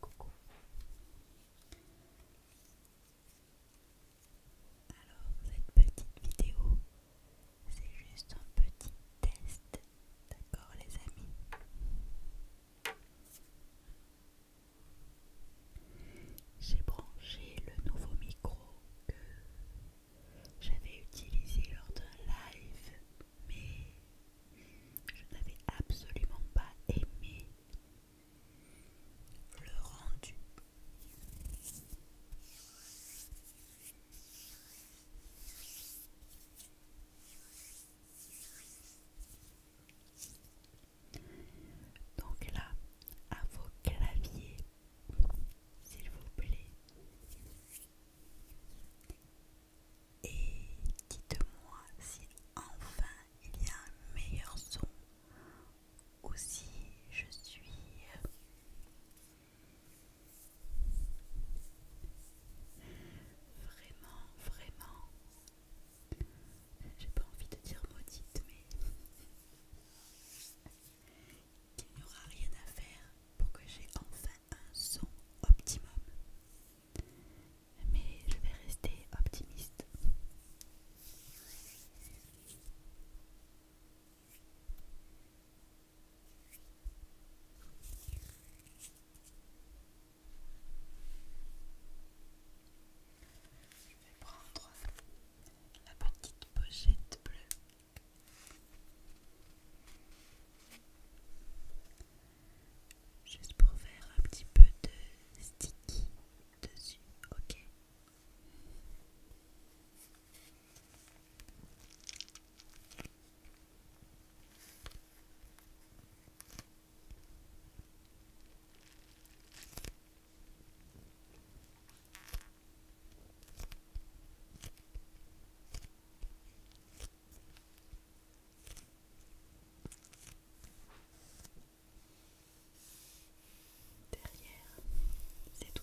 Coucou. Alors cette petite vidéo, c'est juste un petit test D'accord les amis J'ai branché le nouveau micro que j'avais utilisé lors d'un live, mais je n'avais absolument pas aimé le rendu. Donc là, à vos claviers, s'il vous plaît. Et dites-moi si enfin il y a un meilleur son ou si je suis Vraiment, vraiment. J'ai pas envie de dire maudite, mais il n'y aura rien à faire pour que j'ai enfin un son optimum. Mais je vais rester optimiste. Je vais prendre la petite pochette bleue. Juste pour faire un petit peu de sticky dessus, ok. Derrière, c'est tout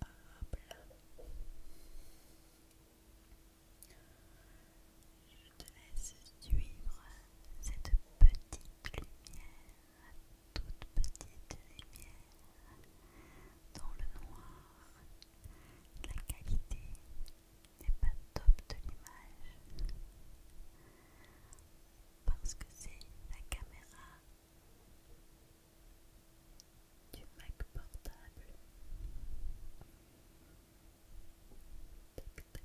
Hop là. Je te laisse suivre cette petite lumière, toute petite lumière dans le noir. La qualité n'est pas top de l'image parce que c'est la caméra du Mac portable. Tac, tac.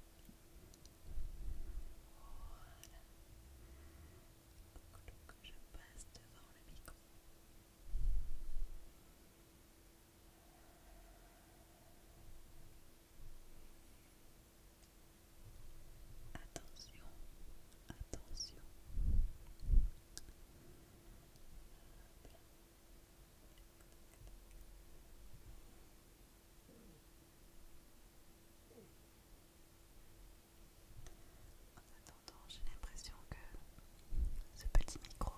Voilà. je passe devant le micro. Attention, attention, en attendant, j'ai l'impression que ce petit micro euh,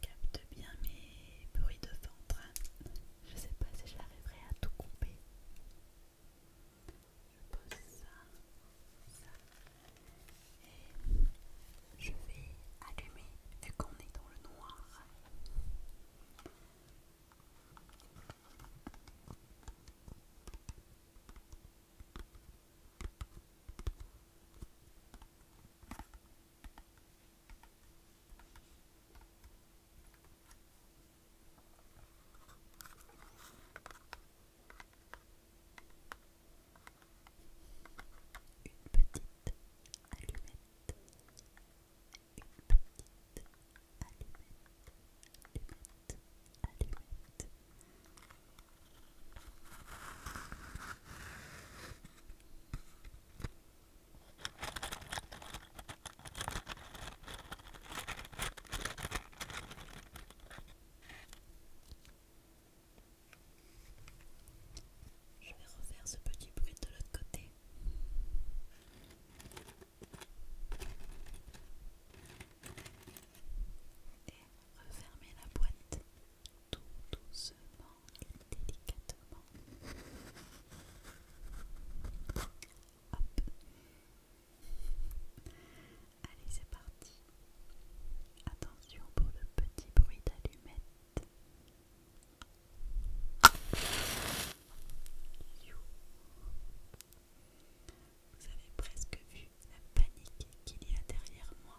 capte bien mes bruits de ventre. Je sais pas si j'arriverai à tout couper. Je pose ça, Et je vais allumer Et qu'on est dans le noir. Une petite allumette, une petite petite je vais refaire ce petit bruit de l'autre côté. Et refermer la boîte tout doucement délicatement. Allez, c'est parti. Attention pour le petit bruit d'allumette. Vous avez presque vu la panique qu'il y a derrière moi.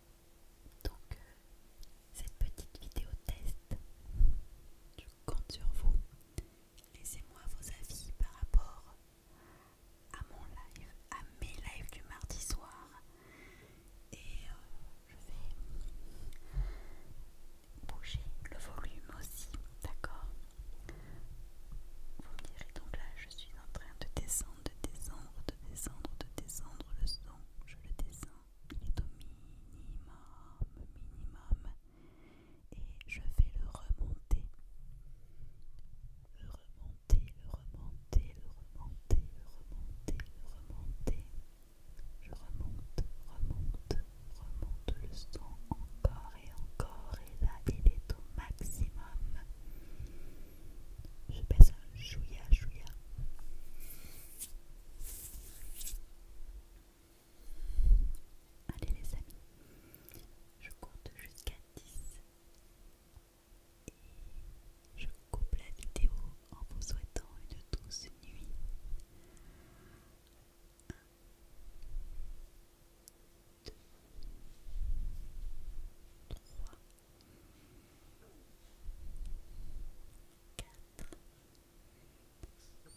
Donc, euh, cette petite vidéo test, je compte sur vous. Laissez-moi vos avis par rapport à mon live, à mes lives du mardi soir. Et euh, je vais bouger le volume aussi, d'accord Vous me direz donc là, je suis en train de descendre, de descendre, de descendre, de descendre le son. Je le descends il est au minimum, minimum, et je vais le remonter, le remonter, le remonter, le remonter, le remonter, le remonter. Je remonte, remonte, remonte le son encore et encore, et là il est au maximum. Je baisse un chouïa, chouïa. Allez les amis, je compte jusqu'à 10 et je coupe la vidéo en vous souhaitant une douce nuit. 1, 2, 3, 4, cinq, six, sept, et dix. Douce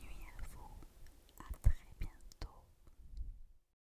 nuit à vous, à très bientôt.